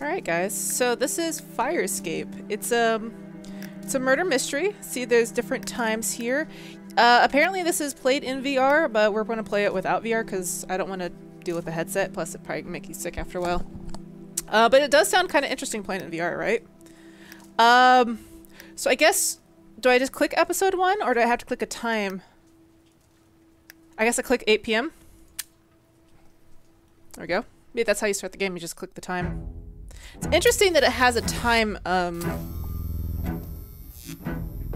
Alright guys, so this is Fire Escape. It's um it's a murder mystery. See there's different times here. Uh, apparently this is played in VR, but we're going to play it without VR because I don't want to deal with a headset. Plus it probably make you sick after a while. Uh, but it does sound kind of interesting playing in VR, right? Um, so I guess, do I just click episode one or do I have to click a time? I guess I click 8 p.m. There we go. Maybe that's how you start the game. You just click the time. It's interesting that it has a time, um,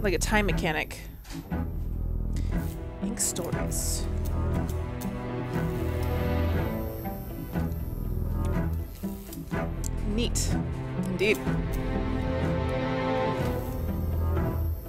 like a time mechanic. Ink stories. Neat. Indeed.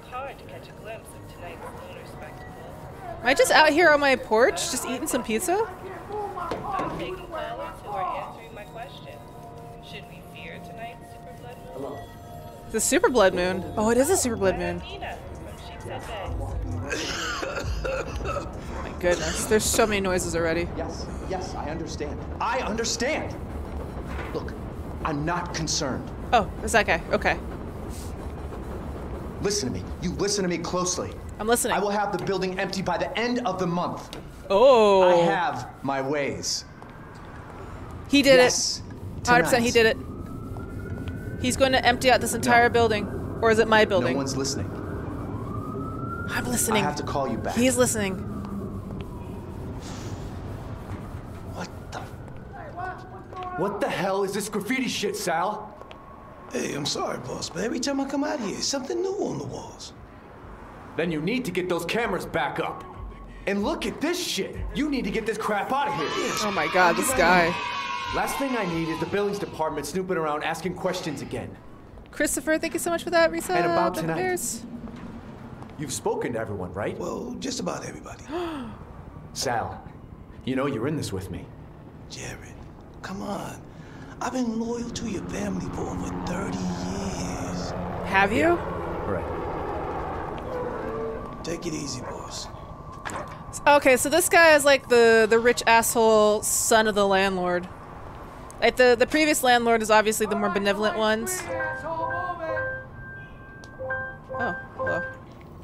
work Am I just out here on my porch, just eating some pizza? I'm answering my question. Should we fear tonight's super blood moon? Oh, it is a super blood moon. Oh my goodness, there's so many noises already. Yes, yes, I understand. I understand. Look, I'm not concerned. Oh, is that okay? Okay. Listen to me. You listen to me closely. I'm listening. I will have the building empty by the end of the month. Oh. I have my ways. He did it. 100% he did it. He's going to empty out this entire building. Or is it my building? No one's listening. I'm listening. I have to call you back. He's listening. What the? hell is this graffiti shit, Sal? Hey, I'm sorry, boss, but every time I come out here, something new on the walls. Then you need to get those cameras back up. And look at this shit. You need to get this crap out of here. Oh my god, this guy. Last thing I need is the Billings department snooping around asking questions again. Christopher, thank you so much for that reset. And about tonight. You've spoken to everyone, right? Well, just about everybody. Sal, you know you're in this with me. Jared, come on. I've been loyal to your family for over 30 years. Have you? Yeah. Right. Take it easy, boss. Okay, so this guy is like the, the rich asshole son of the landlord. Like the, the previous landlord is obviously the more benevolent ones. Oh,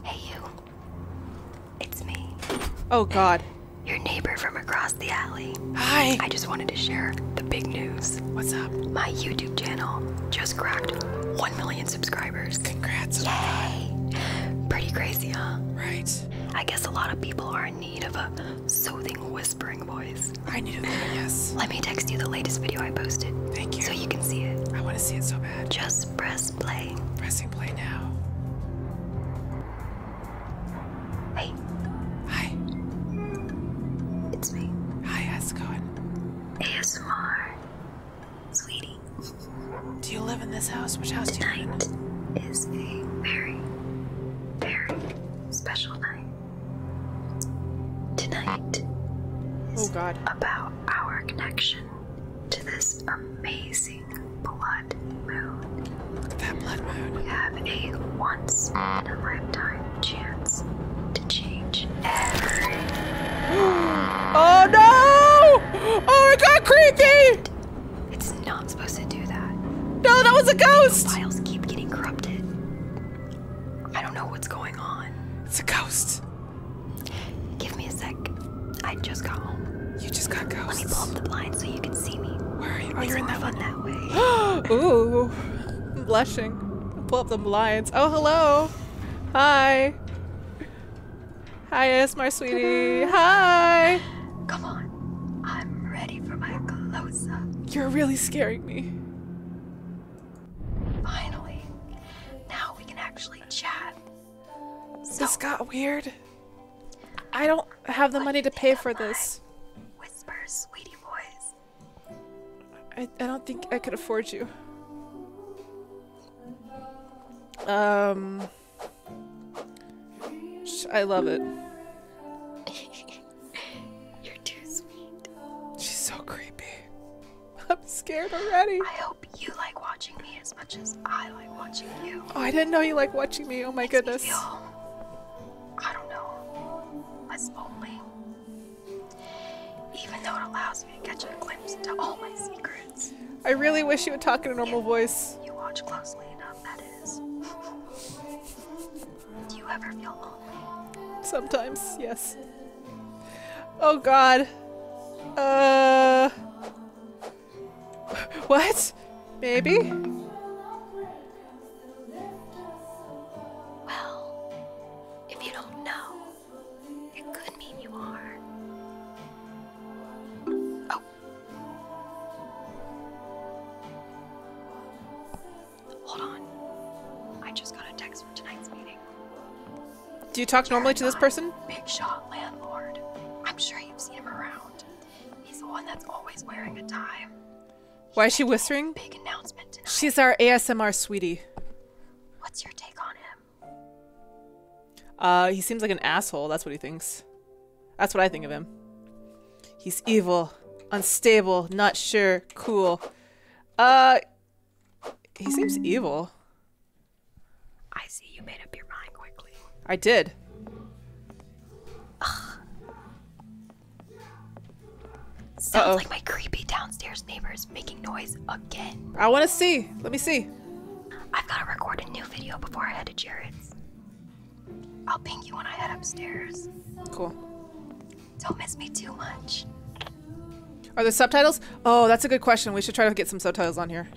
Hey, you. It's me. Oh, God. Your neighbor from across the alley. Hi. I just wanted to share the big news. What's up? My YouTube channel just cracked 1 million subscribers. Congrats. Yay. Pretty crazy, huh? Right. I guess a lot of people are in need of a soothing, whispering voice. I need to yes. Let me text you the latest video I posted. Thank you. So you can see it. I want to see it so bad. Just press play. Pressing play now. Hey. Hi. It's me. Hi, how's it going? ASMR. Sweetie. Do you live in this house? Which house do you live in? is a very, very special night. Tonight is oh God. about our connection to this amazing blood moon. That blood moon. We have a once in a lifetime chance to change everything. oh no! Oh, it got creepy! It's not supposed to do that. No, that was a ghost! Files keep getting corrupted. I don't know what's going on. It's a ghost. Give me a sec. I just got home. You just got ghosts. Let me pull up the blind so you can see me. Oh, you're in that one. that way. Ooh, I'm blushing. Pull up the blinds. Oh, hello. Hi. Hi, Esmar, sweetie. Hi. Come on. I'm ready for my close You're really scaring me. Finally. Now we can actually chat. this got weird. I don't have the money to pay for this. Whispers, sweetie voice. I, I don't think I could afford you. Um. I love it. You're too sweet. She's so creepy. I'm scared already. I hope you like watching me as much as I like watching you. Oh, I didn't know you like watching me. Oh my Makes goodness. Me feel, I don't know. Less lonely. Even though it allows me to catch a glimpse into all my secrets. I really wish you would talk in a normal voice. You watch closely enough, that is. Do you ever feel lonely? Sometimes, yes. Oh god. Uh. What? Maybe? Well, if you don't know, it could mean you are. Oh. Hold on. I just got a text for tonight's meeting. Do you talk normally to this person? Big shot landlord. I'm sure you've seen him around. He's the one that's always wearing a tie. Why is she whispering? Big announcement tonight. She's our ASMR sweetie. What's your take on him? Uh, he seems like an asshole. That's what he thinks. That's what I think of him. He's evil, unstable, not sure, cool. Uh, he seems mm. evil. I see you made up your mind quickly. I did. Ugh. Sounds like my creepy downstairs neighbors making noise again. I want to see. Let me see. I've got to record a new video before I head to Jared's. I'll ping you when I head upstairs. Cool. Don't miss me too much. Are there subtitles? Oh, that's a good question. We should try to get some subtitles on here.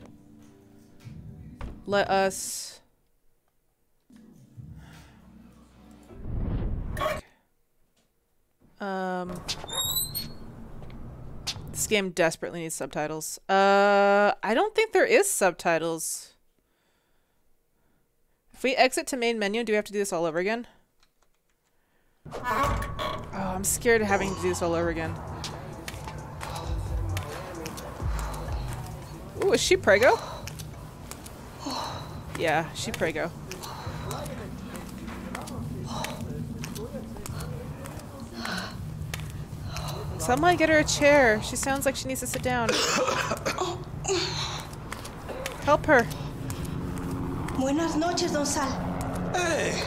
Let us... Um... This game desperately needs subtitles. Uh, I don't think there is subtitles. If we exit to main menu, do we have to do this all over again? Oh, I'm scared of having to do this all over again. Oh, is she prego? Yeah, she prego. Somebody get her a chair. She sounds like she needs to sit down. Help her. Buenas noches, Don Sal. Hey.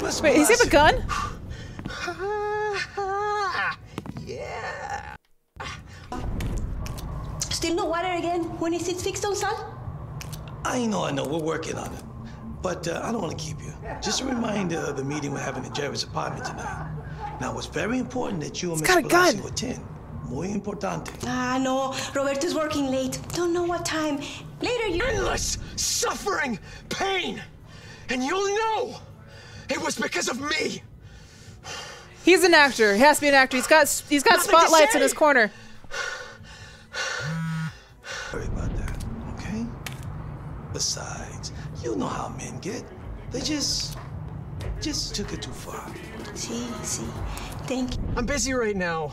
Let's Wait, does he have a gun? yeah. Still no water again. When is it fixed, Don Sal? I know, I know. We're working on it. But uh, I don't want to keep you. Just a reminder of the meeting we're having in Jerry's apartment tonight. Now, it's very important that you and Miss Pelosi attend. Muy importante. Ah, no. Roberto's working late. Don't know what time. Later, you. Endless suffering, pain. And you'll know it was because of me. He's an actor. He has to be an actor. He's got he's got spotlights in his corner. Worry about that, okay? Besides, you know how men get. They just just took it too far. See, see. Thank you. I'm busy right now.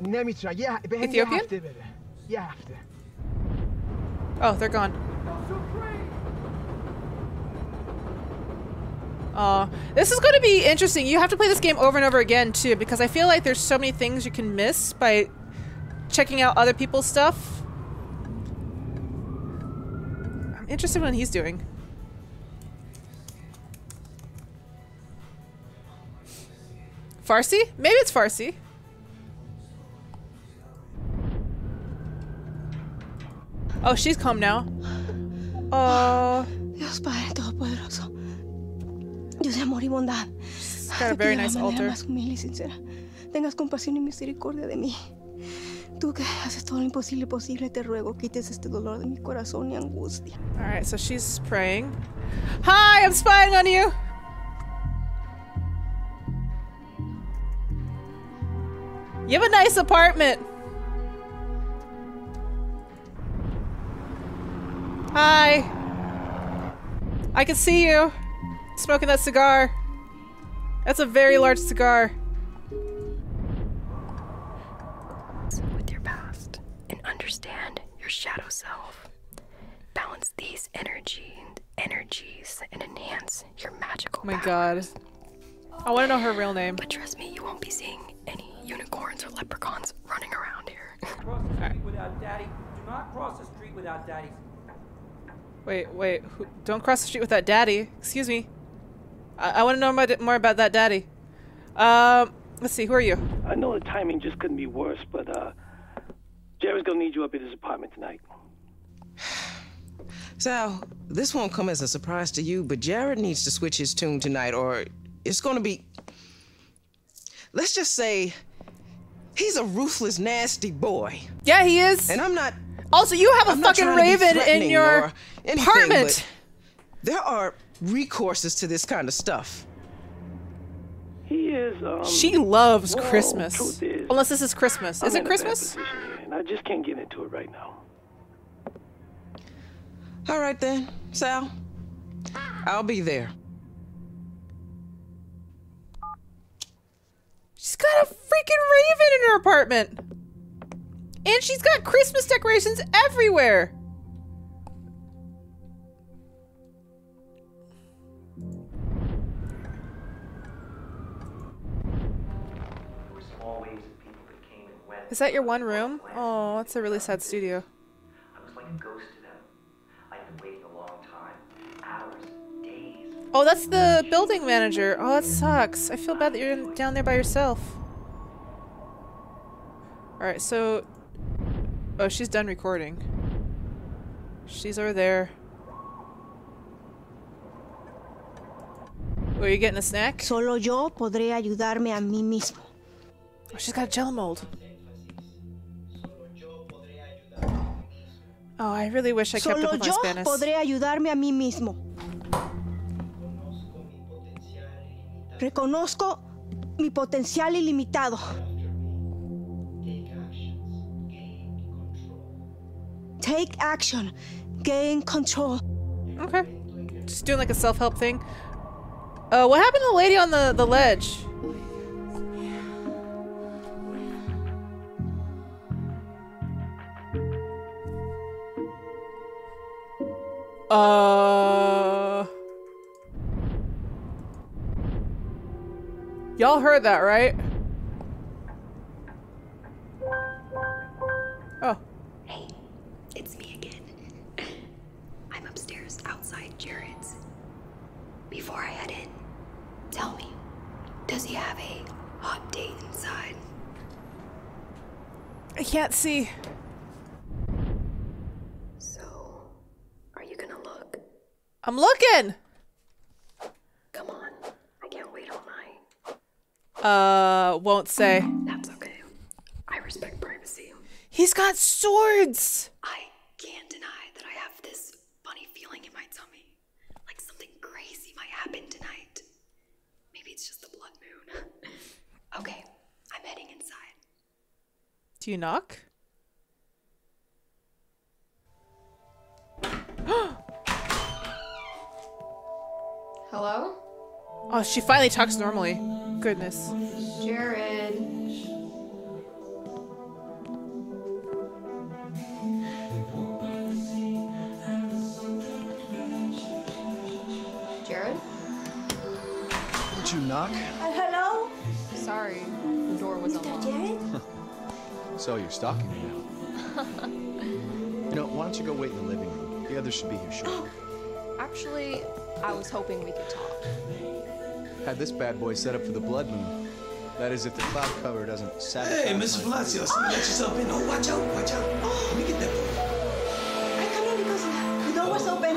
نمیتونن یه به یه هفته Oh, they're gone. Uh, this is going to be interesting. You have to play this game over and over again, too, because I feel like there's so many things you can miss by checking out other people's stuff. I'm interested in what he's doing. Farsi? Maybe it's Farsi. Oh, she's calm now. Oh. Dios Padre Todopoderoso. Dios de amor y bondad. She's got Más humilde y sincera. Tengas compasión y misericordia de mí. Tú que haces todo lo imposible posible, te ruego, quites este dolor de mi corazón y angustia. Alright, so she's praying. Hi, I'm spying on you! You have a nice apartment! Hi! I can see you! Smoking that cigar. That's a very large cigar. With your past and understand your shadow self. Balance these energy energies and enhance your magical. Oh my god. I want to know her real name. But trust me, you won't be seeing any unicorns or leprechauns running around here. Do not cross the street without daddy. Wait, wait. don't cross the street without daddy. Excuse me. I, want to know more about that daddy. Uh, let's see. Who are you? I know the timing just couldn't be worse, but uh, Jared's gonna need you up at his apartment tonight. Sal, this won't come as a surprise to you, but Jared needs to switch his tune tonight, or it's gonna be. Let's just say he's a ruthless, nasty boy. Yeah, he is. And I'm not. Also, you have a fucking raven in your apartment. There are recourses to this kind of stuff. He is. Um, she loves Christmas. Unless this is Christmas. Is it Christmas? Position, I just can't get into it right now. All right then, Sal. I'll be there. She's got a freaking raven in her apartment. And she's got Christmas decorations everywhere. Is that your one room? Oh, that's a really sad studio. I was like a ghost to them. I've been waiting a long time. Oh, that's the building manager. Oh, it sucks. I feel bad that you're down there by yourself. Alright, so Oh, she's done recording. She's over there. Were you getting a snack? Solo yo podré ayudarme a mí mismo. Oh, she's got a gel mold. Oh, I really wish I kept Solo up with my Spanish. Solo yo podré ayudarme a mí mismo. Reconozco mi potencial ilimitado. Take action. Gain control. Okay. Just doing like a self-help thing. Uh, what happened to the lady on the, the ledge? Uh... Y'all heard that, right? Oh. Hey, it's me again. I'm upstairs outside Jared's. Before I head in, tell me, does he have a hot date inside? I can't see. So, are you gonna look? I'm looking! Come on. I can't wait all night. Uh, won't say. That's okay. I respect privacy. He's got swords! I can't deny that I have this funny feeling in my tummy. Like something crazy might happen tonight. Maybe it's just the blood moon. okay, I'm heading inside. Do you knock? Hello? Oh, she finally talks normally. Goodness. Jared. Jared? Did you knock? Uh, hello? Sorry, the door was open. so you're stalking me now. you know, why don't you go wait in the living room? The others should be here shortly. Oh, actually, I was hoping we could talk. Had this bad boy set up for the blood moon. That is, if the cloud cover doesn't satisfy. Hey, Mr. Palacios, let yourself in. Oh, watch out, watch out. Oh, me get that boy. I come in because the door was oh. open.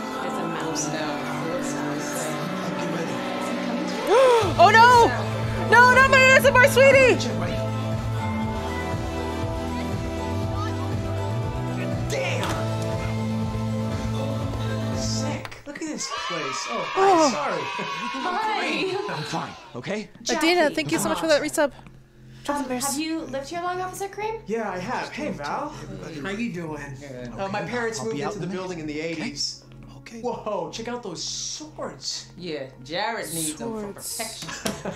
It's a milestone. oh no! No, not my answer, my sweetie! Damn! Sick. Look at this place. Oh, hi, sorry. Hi. I'm fine, okay? Jackie, Adina, thank you so much for that resub. Um, have you lived here long, Officer Cream? Yeah, I have. Hey, Val. How you doing? Uh, my parents moved into the building in the 80s. Okay. Whoa, check out those swords. Yeah, Jared needs them for protection.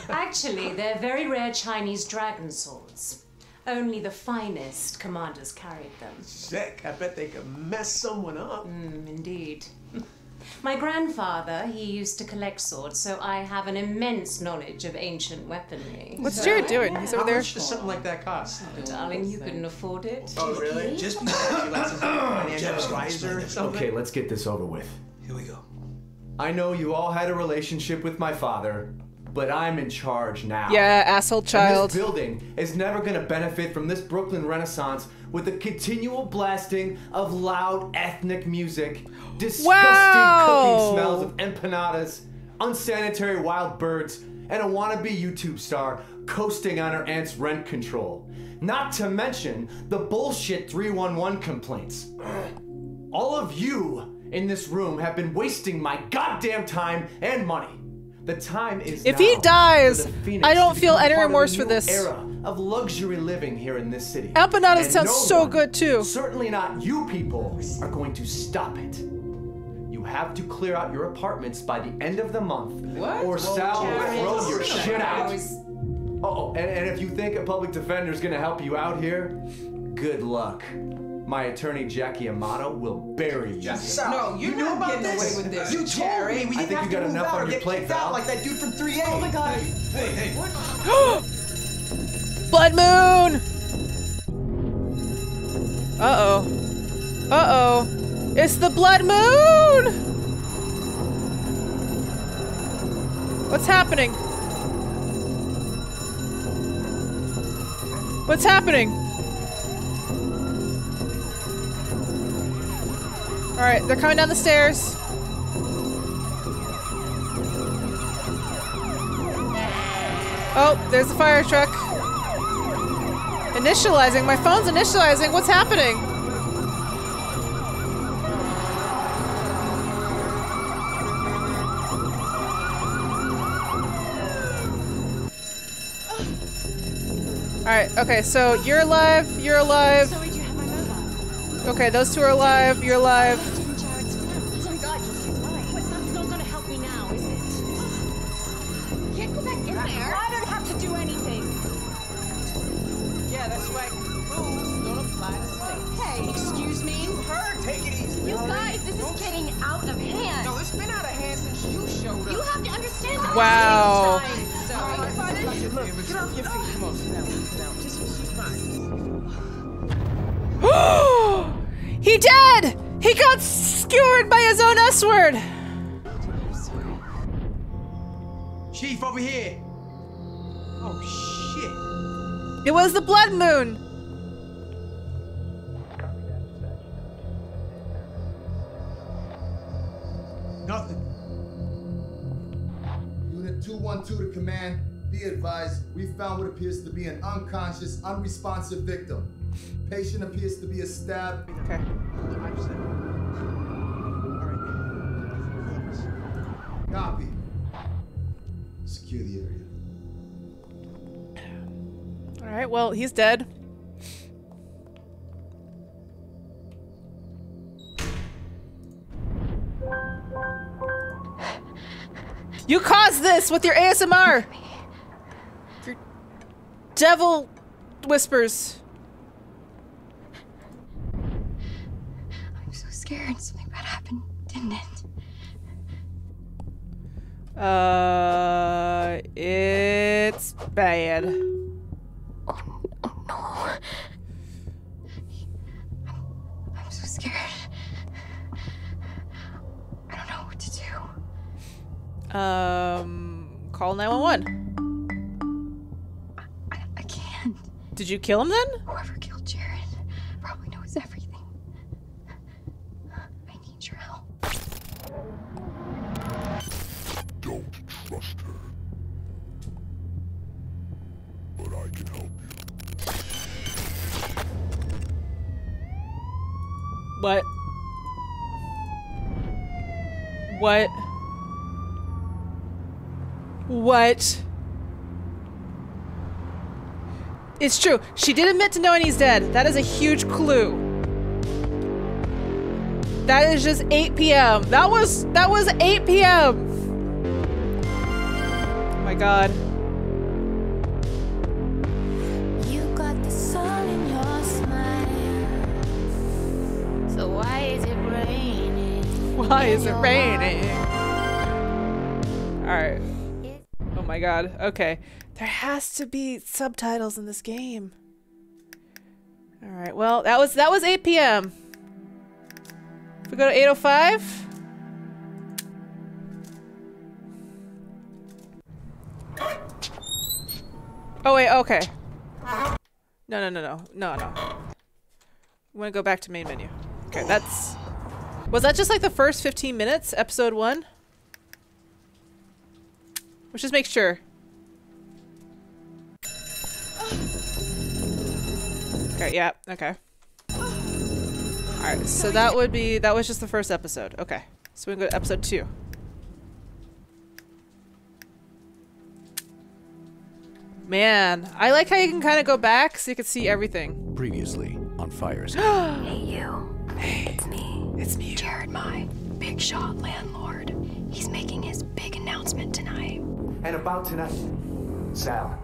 Actually, they're very rare Chinese dragon swords. Only the finest commanders carried them. Sick. I bet they could mess someone up. Mm, indeed. My grandfather, he used to collect swords, so I have an immense knowledge of ancient weaponry. What's so, Jared doing? He's over there. Just something like that cost? Oh, darling, you couldn't afford it. Oh, really? Just because you got some financial advisor or Okay, let's get this over with. Here we go. I know you all had a relationship with my father, but I'm in charge now. Yeah, asshole child. this building is never going to benefit from this Brooklyn Renaissance with the continual blasting of loud ethnic music, disgusting cooking smells of empanadas, unsanitary wild birds, and a wannabe YouTube star coasting on her aunt's rent control. Not to mention the bullshit 311 complaints. All of you in this room have been wasting my goddamn time and money. The time is If he dies, I don't feel any remorse for this. Era of luxury living here in this city. Empanadas sounds so good too. Certainly not you people are going to stop it. You have to clear out your by the end of the month, or sell. Sal your shit out. Oh, and, and if you think a public defender is gonna help you out here, good luck. My attorney Jackie Amato will bury you. no, you, you knew about this. Away with this. You Jared. told me we didn't have to move out or get kicked out like that dude from 3A. Oh my god. Hey, hey. hey. Blood Moon. Uh-oh. Uh-oh. It's the blood moon! What's happening? What's happening? Alright, they're coming down the stairs. Oh, there's a fire truck. Initializing. My phone's initializing. What's happening? Alright, okay, so you're alive, you're alive. Okay, those two are alive, you're alive. Can't go back in there. I don't have to do anything. Yeah, that's right. don't apply to states. Hey, excuse me? Her, take it easy. You guys, this is getting out of hand. No, it's been out of hand since you showed up. You have to understand Wow. Look, Come on, sit down. Just, she's fine. he did! He got skewered by his own S word! Chief, over here! Oh, shit. It was the blood moon! Nothing. Unit 212 to command. Be advised, we found what appears to be an unconscious, unresponsive victim. Patient appears to be a stab. Okay. Copy. Secure the area. All right, well, he's dead. You caused this with your ASMR! devil whispers. I'm so scared. Something bad happened, didn't it? Uh, it's bad. Oh, oh no. I'm so scared. I don't know what to do. Um, call 911. I, I, can't. Did you kill him then? Whoever killed Jared probably knows everything. I need your help. Don't trust her. But I can help you. What? What? What? It's true. She did admit to knowing he's dead. That is a huge clue. That is just 8 p.m. That was that was 8 p.m. Oh my god. So why is it raining? Why is it raining? Alright. Oh my god. Okay. There has to be subtitles in this game. Alright, well that was that was 8 p.m. If we go to 805. Oh wait, okay. No, no, no, no, no, no. I want to go back to main menu. Okay, that's... Was that just like the first 15 minutes, episode one? Let's just make sure. Okay, yeah, okay. Alright, so that would be, that was just the first episode. Okay. So we're going to go to episode two. Man, I like how you can kind of go back so you can see everything. Previously on Fires. hey, you. Hey. It's me. It's me. Jared Mai, big shot landlord. He's making his big announcement tonight. And about tonight, Sal,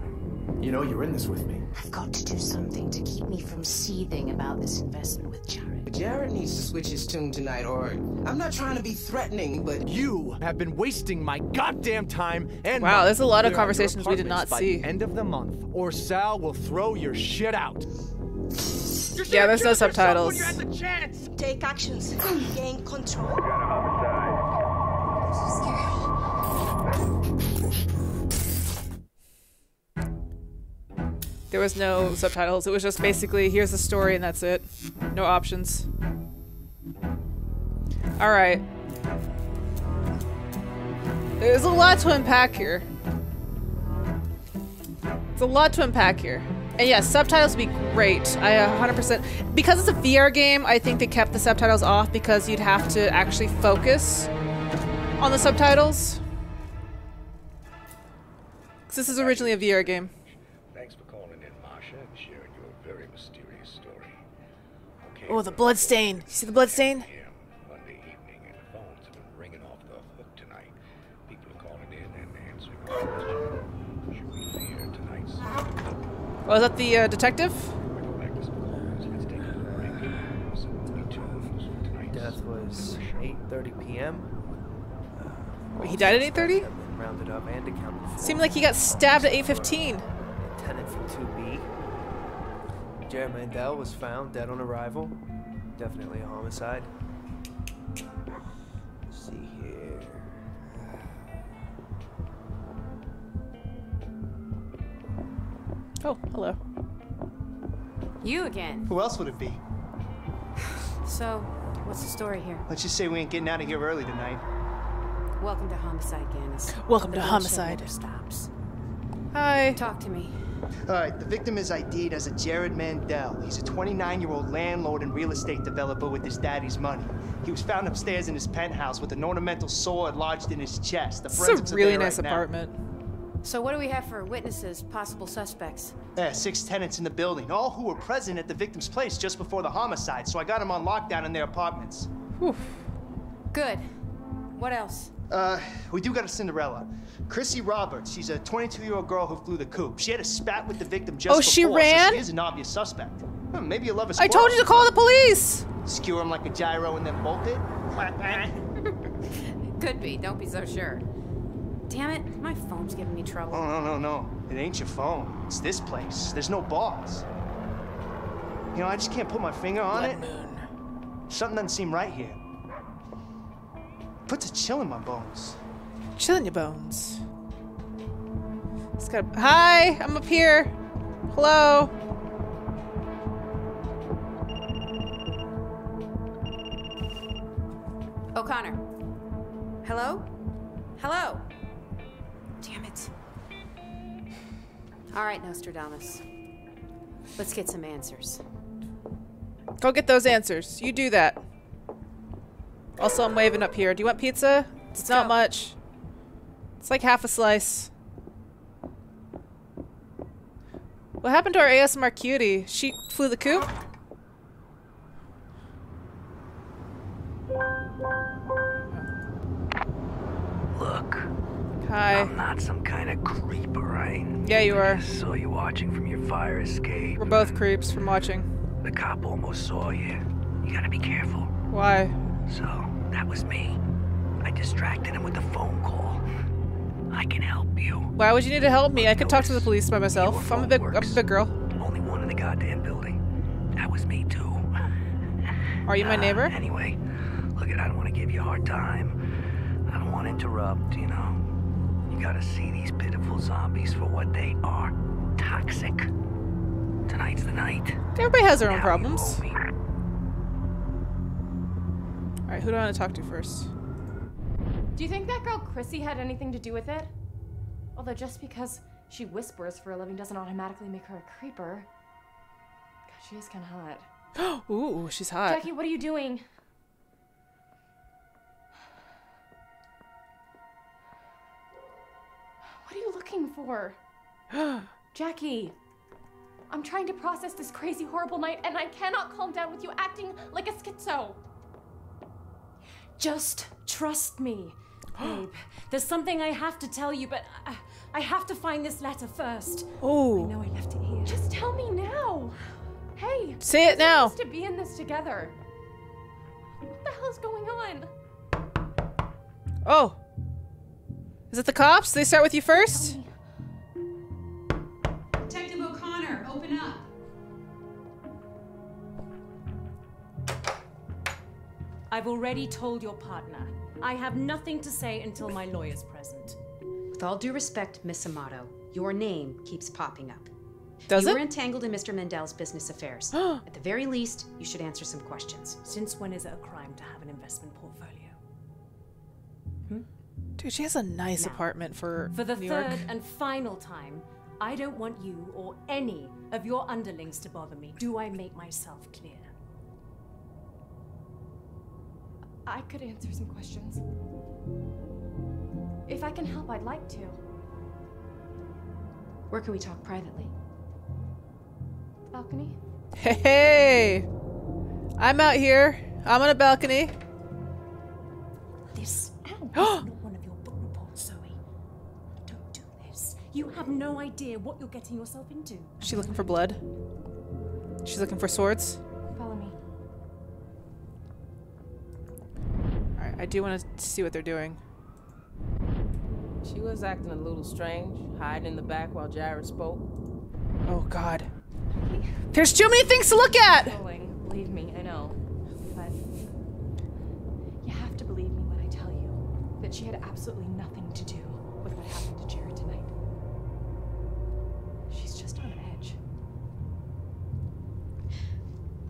you know you're in this with me. I've got to do something to keep me from seething about this investment on Jared. needs to switch his tune tonight, or I'm not trying to be threatening, but you have been wasting my goddamn time and Wow, there's a lot of conversations we did not see. End of the month, or Sal will throw your shit out. yeah, there's no subtitles. Take actions. Gain control. There was no subtitles. It was just basically, here's the story and that's it. No options. Alright. There's a lot to unpack here. It's a lot to unpack here. And yes, subtitles would be great. I 100%. Because it's a VR game, I think they kept the subtitles off because you'd have to actually focus on the subtitles. Because this is originally a VR game. Thanks for calling in, Marsha, and sharing your very mysterious story. Okay, oh, the bloodstain! You see the bloodstain? stain? Monday evening, and the phones have been ringing off the hook tonight. People are calling in and answering questions. Should we fear tonight's... Was oh, that the uh, detective? 8.30 p.m. he died at 8.30? and accounted for. Seemed like he got stabbed at 8.15. Tenant from 2B. Jared Mandel was found dead on arrival. Definitely a homicide. see here. Oh, hello. You again? Who else would it be? so, what's the story here? Let's just say we ain't getting out of here early tonight. Welcome to Homicide, Gannis. Welcome to Homicide. Stops. Hi. Talk to me. All right, the victim is id as a Jared Mandel. He's a 29-year-old landlord and real estate developer with his daddy's money. He was found upstairs in his penthouse with an ornamental sword lodged in his chest. The this is a really nice apartment. So what do we have for witnesses, possible suspects? Yeah, six tenants in the building, all who were present at the victim's place just before the homicide, so I got them on lockdown in their apartments. Whew. Good. What else? Uh, we do got a Cinderella. Chrissy Roberts, she's a 22-year-old girl who flew the coop. She had a spat with the victim just oh, she ran? she is an obvious suspect. Hmm, maybe a love I told you to call the police! Skewer him like a gyro and then bolt it? Could be, don't be so sure. Damn it, my phone's giving me trouble. Oh, no, no, no. It ain't your phone. It's this place. There's no boss. You know, I just can't put my finger on Blood it. Moon. Something doesn't seem right here. Puts a chill in my bones. Chilling your bones. It's got. Hi, I'm up here. Hello. O'Connor. Hello? Hello? Damn it. All right, Nostradamus. Let's get some answers. Go get those answers. You do that. Also, I'm waving up here. Do you want pizza? It's not much. It's like half a slice. What happened to our ASMR cutie? She flew the coop? Look. Hi. I'm not some kind of creep, right? Yeah, you are. I saw you watching from your fire escape. We're both creeps from watching. The cop almost saw you. You gotta be careful. Why? So, that was me. I distracted him with a phone call. I can help you. Why would you need to help me? I could talk to the police by myself. I'm a big, I'm a big girl. Only one in the goddamn building. That was me too. Are you my neighbor? anyway, look, at I don't want to give you a hard time. I don't want to interrupt. You know, you gotta see these pitiful zombies for what they are. Toxic. Tonight's the night. Everybody has their own problems. All right, who do I want to talk to first? Do you think that girl Chrissy had anything to do with it? Although just because she whispers for a living doesn't automatically make her a creeper. God, she is kind of hot. Ooh, she's hot. Jackie, what are you doing? What are you looking for? Jackie, I'm trying to process this crazy, horrible night, and I cannot calm down with you acting like a schizo. Just trust me, babe. There's something I have to tell you, but I, have to find this letter first. Oh. I know I left it here. Just tell me now. Hey. Say it now. to be in this together. What the hell's going on? Oh. Is it the cops? They start with you first? Detective O'Connor, open up. I've already told your partner. I have nothing to say until my lawyer's present. With all due respect, Miss Amato, your name keeps popping up. Does you were entangled in Mr. Mendel's business affairs. At the very least, you should answer some questions. Since when is it a crime to have an investment portfolio? Hmm? Dude, she has a nice apartment for For the third and final time, I don't want you or any of your underlings to bother me. Do I make myself clear? I could answer some questions. If I can help, I'd like to. Where can we talk privately? Balcony? Hey! hey. I'm out here. I'm on a balcony. This owl not one of your book reports, Zoe. Don't do this. You have no idea what you're getting yourself into. She looking for blood. She's looking for swords. Follow me. Alright, I do want to see what they're doing. She was acting a little strange, hiding in the back while Jared spoke. Oh, God. There's too many things to look at! Believe me, I know. But you have to believe me when I tell you that she had absolutely nothing to do with what happened to Jerry tonight. She's just on edge.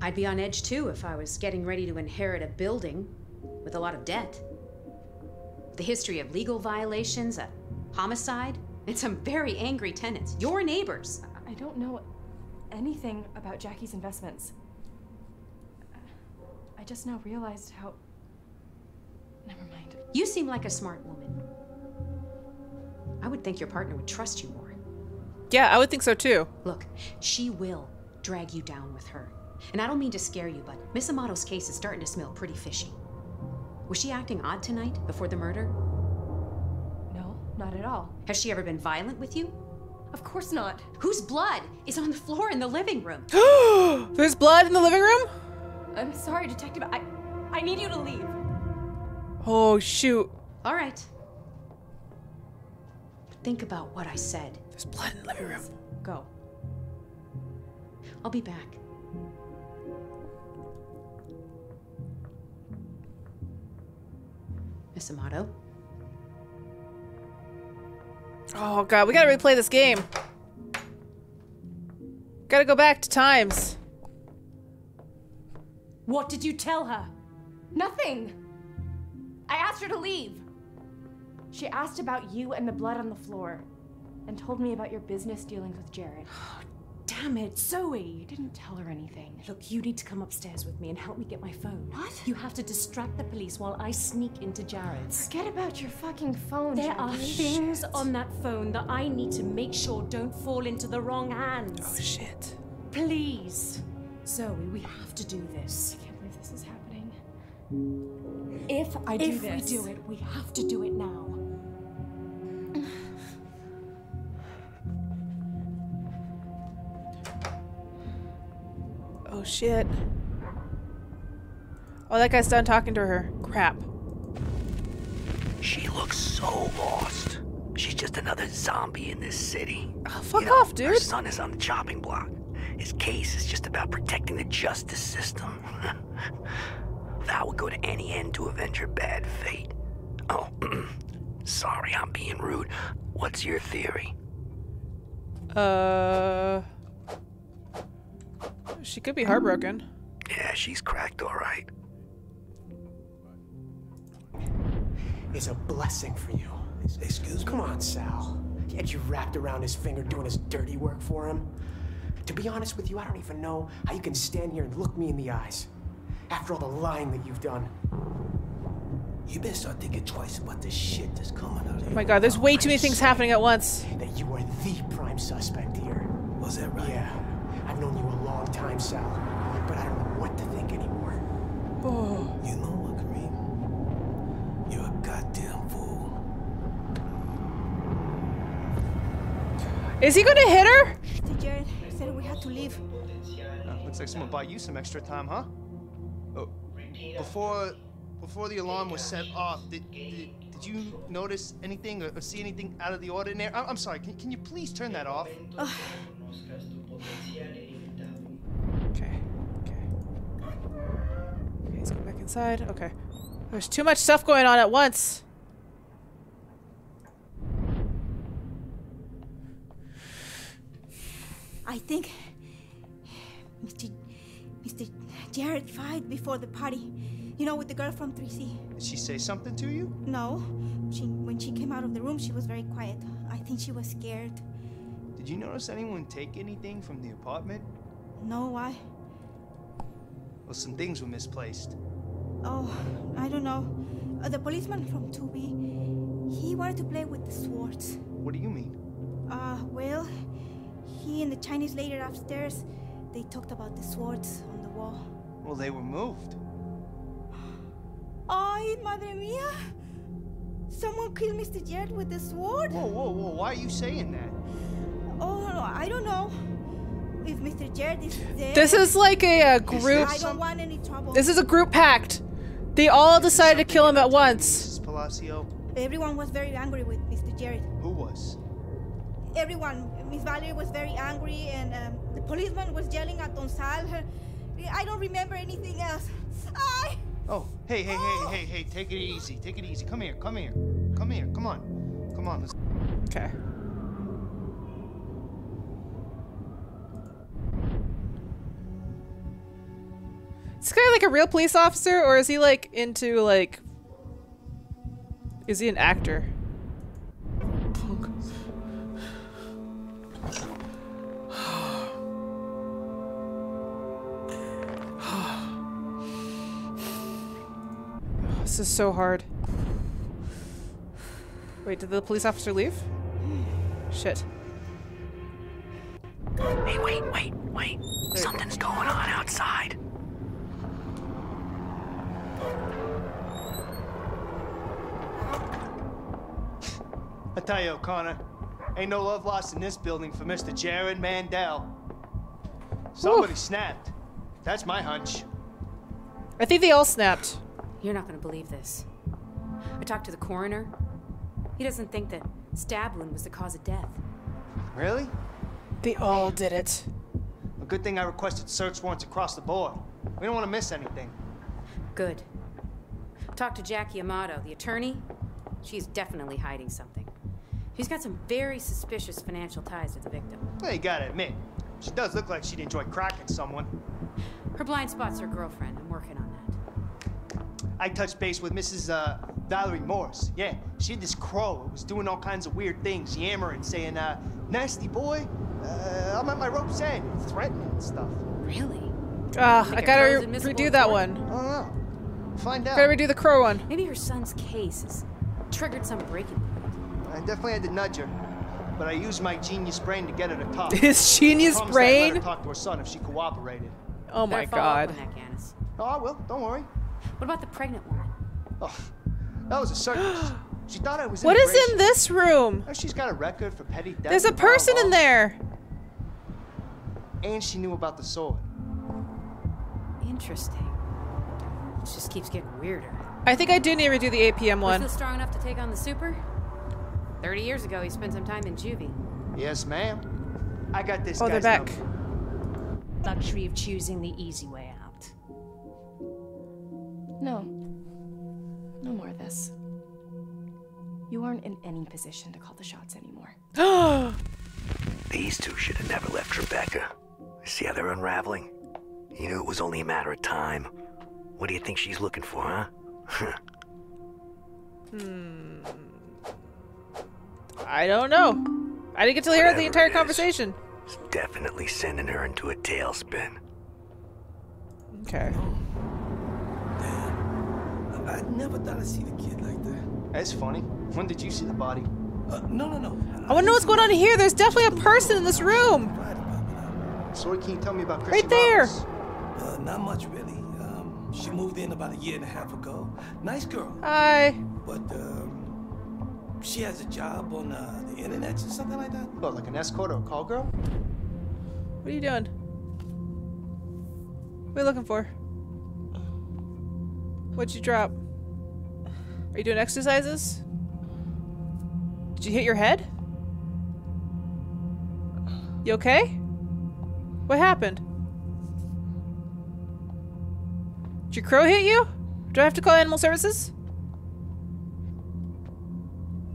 I'd be on edge too if I was getting ready to inherit a building with a lot of debt. The history of legal violations, a homicide, and some very angry tenants. Your neighbors. I don't know anything about Jackie's investments. I just now realized how... Never mind. You seem like a smart woman. I would think your partner would trust you more. Yeah, I would think so too. Look, she will drag you down with her. And I don't mean to scare you, but Miss Amato's case is starting to smell pretty fishy. Was she acting odd tonight before the murder? No, not at all. Has she ever been violent with you? Of course not. Whose blood is on the floor in the living room? There's blood in the living room? I'm sorry, Detective. I, I need you to leave. Oh, shoot. All right. think about what I said. There's blood in the living room. Go. I'll be back. Miss Amato? Oh god, we gotta replay this game. Gotta go back to times. What did you tell her? Nothing. I asked her to leave. She asked about you and the blood on the floor, and told me about your business dealings with Jared. Oh, Damn it, Zoe! You didn't tell her anything. Look, you need to come upstairs with me and help me get my phone. What? You have to distract the police while I sneak into Jared's. Forget about your fucking phone, There are things on that phone that I need to make sure don't fall into the wrong hands. Oh, shit. Please. Zoe, we have to do this. I can't believe this is happening. If I do this... If we do it, we have to do it now. Oh, shit. Oh, that guy's done talking to her. Crap. She looks so lost. She's just another zombie in this city. Oh, fuck off, dude. Her son is on the chopping block. His case is just about protecting the justice system. That would go to any end to avenge her bad fate. No. Sorry, I'm being rude. What's your theory? Uh. She could be heartbroken. Yeah, she's cracked all right. It's a blessing for you. Excuse me? Come on, Sal. Had you wrapped around his finger doing his dirty work for him. To be honest with you, I don't even know how you can stand here and look me in the eyes. After all the lying that you've done. You better start thinking twice about this shit that's coming out of you. Oh my god, there's way too many things happening at once. That you are the prime suspect here. Was that right? Yeah. I've known you a long time, Sal. But I don't know what to think anymore. Oh. You know what, Kareem? You're a goddamn fool. Is he gonna hit her? Jared said we had to leave. Oh, looks like someone bought you some extra time, huh? Oh, before, before the alarm was set off, did, did, did you notice anything or, or, see anything out of the ordinary? I, am sorry, can, can you please turn that off? Oh. okay, okay. Okay, let's go back inside. Okay. There's too much stuff going on at once. I think Mr. Mr. Jared fight before the party. You know, with the girl from 3C. Did she say something to you? No. She, when she came out of the room, she was very quiet. I think she was scared. Did you notice anyone take anything from the apartment? No, why? Well, some things were misplaced. Oh, I don't know. Uh, the policeman from from He wanted to play with the swords. What do you mean? Uh, well, he and the Chinese lady upstairs, they talked about the swords on the wall. Well, they were moved. Ay, madre mía! Someone killed Mr. Jared with a sword? Whoa, whoa, whoa, why are you saying that? Oh, I don't know. If Mr. Jared is dead... This is like a, group... I do this is a group pact. They all decided to kill him at once. Palacio. Everyone was very angry with Mr. Jared. Who was? Everyone. Miss Valerie was very angry, and um, the policeman was yelling at Don Her, I don't remember anything else. I. Oh, hey, hey, oh. hey, hey, hey! Take it easy. Take it easy. Come here. Come here. Come here. Come on. Come on. Let's. Okay. Is this guy like a real police officer or is he like into like... Is he an actor? This is so hard. Wait, did the police officer leave? Shit. Hey, wait, wait, wait. Something's going on outside. I tell you, O'Connor, ain't no love lost in this building for Mr. Jared Mandel. Somebody snapped. That's my hunch. I think they all snapped. You're not gonna believe this. I talked to the coroner. He doesn't think that stab wound was the cause of death. Really? They all did it. A good thing I requested search warrants across the board. We don't want to miss anything. Good. Talk to Jackie Amato, the attorney. She's definitely hiding something. She's got some very suspicious financial ties to the victim. Well, gotta admit, she does look like she'd enjoy cracking someone. Her blind spot's her girlfriend. I'm working on that. I touched base with Mrs. Uh, Valerie Morse. Yeah, she had this crow. It was doing all kinds of weird things, yammering, saying, uh, nasty boy, uh, I'm at my rope's end, threatening stuff. Really? I, gotta redo that one. I Find out. Gotta redo the crow one. Maybe her son's case has triggered some breaking point. I definitely had to nudge her. But I used my genius brain to get her to talk. His genius brain? I'd talk to her son if she cooperated. Oh my god. oh, I will. Don't worry. What about the pregnant woman? Oh, that was a circus. she thought I was. What is in this room? Oh, she's got a record for petty theft. There's a person in there. And she knew about the sword. Interesting. It just keeps getting weirder. I think I do need to redo the APM one. Is it strong enough to take on the super? 30 years ago, he spent some time in juvie. Yes, ma'am. I got this. Oh, they're back. Luxury of choosing the easy way out. No. No more of this. You aren't in any position to call the shots anymore. These two should have never left Rebecca. See how they're unraveling? You knew it was only a matter of time. What do you think she's looking for, huh? hmm. I don't know. I didn't get to hear the entire conversation. It's definitely sending her into a tailspin. Okay. I never thought I'd see the kid like that. That's funny. When did you see the body? Uh, no, no, no. I, want to know what's going on here. There's definitely a person in this room. Sorry, can you tell me about Chrissy Right there. Uh, not much, really. Um, she moved in about a year and a half ago. Nice girl. Hi. But um, she has a job on uh, the internet or something like that. What, like an escort or a call girl? What are you doing? What are you looking for? What'd you drop? Are you doing exercises? Did you hit your head? You okay? What happened? Did your crow hit you? Do I have to call animal services?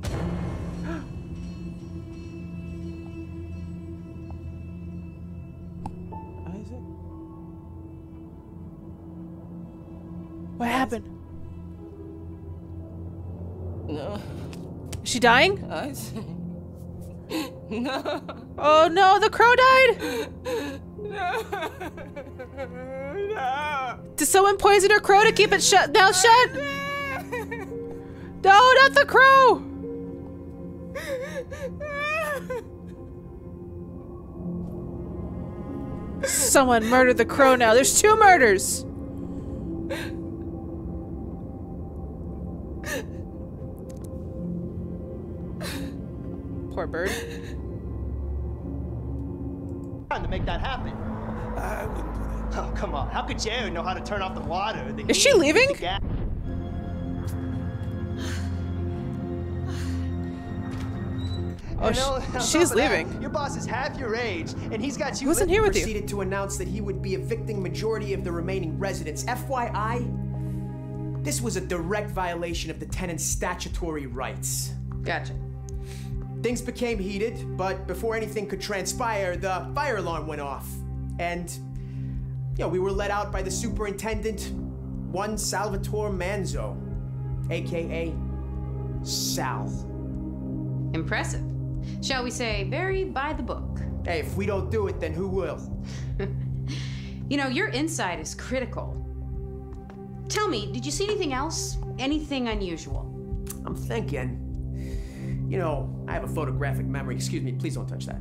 What happened? No. Is she dying? No. Oh no, the crow died? No. no. Did someone poison her crow to keep it shut mouth shut? No, not the crow! Someone murdered the crow now. There's two murders! Poor bird. Trying to make that happen. I wouldn't do that. Oh, come on. How could Jared know how to turn off the water? Is she leaving? Oh, oh she's oh, leaving. your boss is half your age outraged, and he's got you. Wasn't here with proceeded you. Proceeded to announce that he would be evicting majority of the remaining residents. FYI, this was a direct violation of the tenant's statutory rights. Gotcha. Things became heated, but before anything could transpire, the fire alarm went off, and you know we were let out by the superintendent, one Salvatore Manzo, aka Sal. Impressive. Shall we say, very by the book. Hey, if we don't do it, then who will? you know, your insight is critical. Tell me, did you see anything else? Anything unusual? I'm thinking. You know, I have a photographic memory. Excuse me, please don't touch that.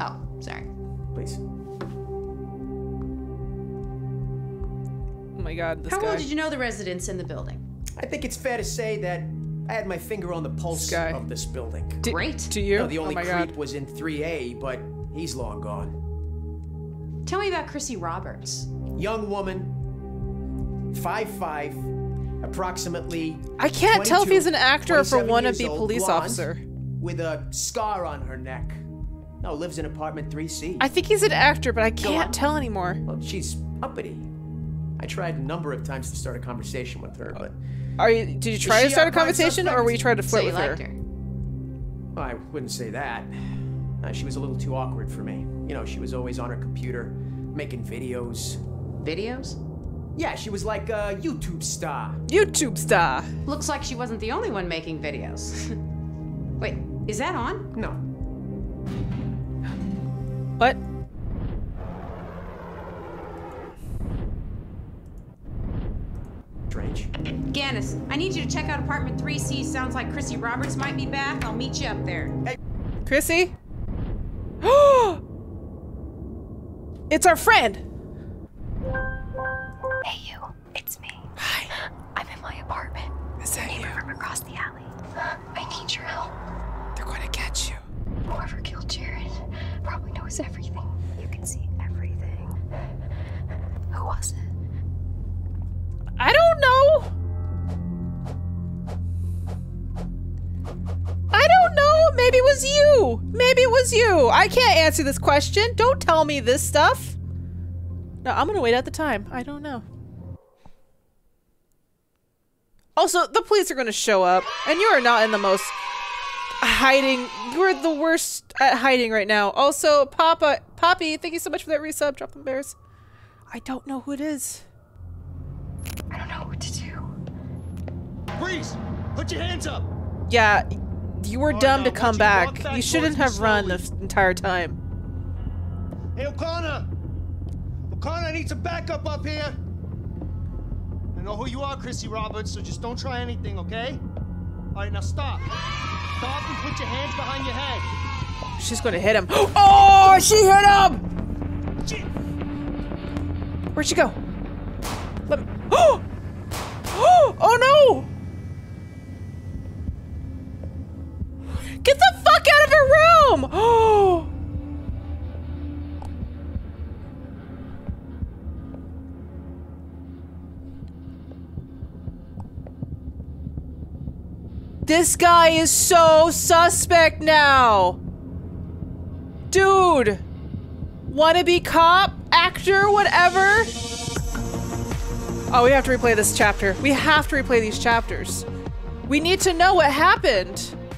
Oh, sorry. Please. Oh my god, How guy. did you know the residents in the building? I think it's fair to say that I had my finger on the pulse of this building. Great. To you? the only oh creep was in 3A, but he's long gone. Tell me about Chrissy Roberts. Young woman, five five, approximately. I can't tell if he's an actor or for wannabe old, police officer. With a scar on her neck. No, lives in apartment 3C. I think he's an actor, but I can't tell anymore. she's uppity I tried a number of times to start a conversation with her, but are you? Did you try to start a conversation, or were you trying to flirt with her? Well, I wouldn't say that. Uh, she was a little too awkward for me. You know, she was always on her computer, making videos. Videos? Yeah, she was like a YouTube star. YouTube star. Looks like she wasn't the only one making videos. Wait, is that on? No. What? Strange. Gannis, I need you to check out apartment 3C. Sounds like Chrissy Roberts might be back. I'll meet you up there. Hey. Chrissy? it's our friend! Hey, you. It's me. Hi. I'm in my apartment. Is that you? from across the alley. I need your help. They're going to catch you. Whoever killed Jared probably knows everything. You can see everything. Who was it? I don't know. I don't know. Maybe it was you. Maybe it was you. I can't answer this question. Don't tell me this stuff. No, I'm going to wait out the time. I don't know. Also, the police are going to show up, and you are not in the most hiding. You're the worst at hiding right now. Also, Papa, Poppy, thank you so much for that resub. Drop them bears. I don't know who it is. I don't know what to do. Freeze! Put your hands up. Yeah, you were dumb to come back. You shouldn't have run the entire time. Hey, O'Connor! O'Connor, I need some backup up here! I know who you are, Chrissy Roberts, so just don't try anything, okay? All right, now stop. Stop and put your hands behind your head. She's gonna hit him. Oh, she hit him! Where'd she go? Let me... Oh! Oh, oh no! Get the out of her room! Oh! This guy is so suspect now! Dude! Wannabe cop? Actor? Whatever? Oh, we have to replay this chapter. We have to replay these chapters. We need to know what happened.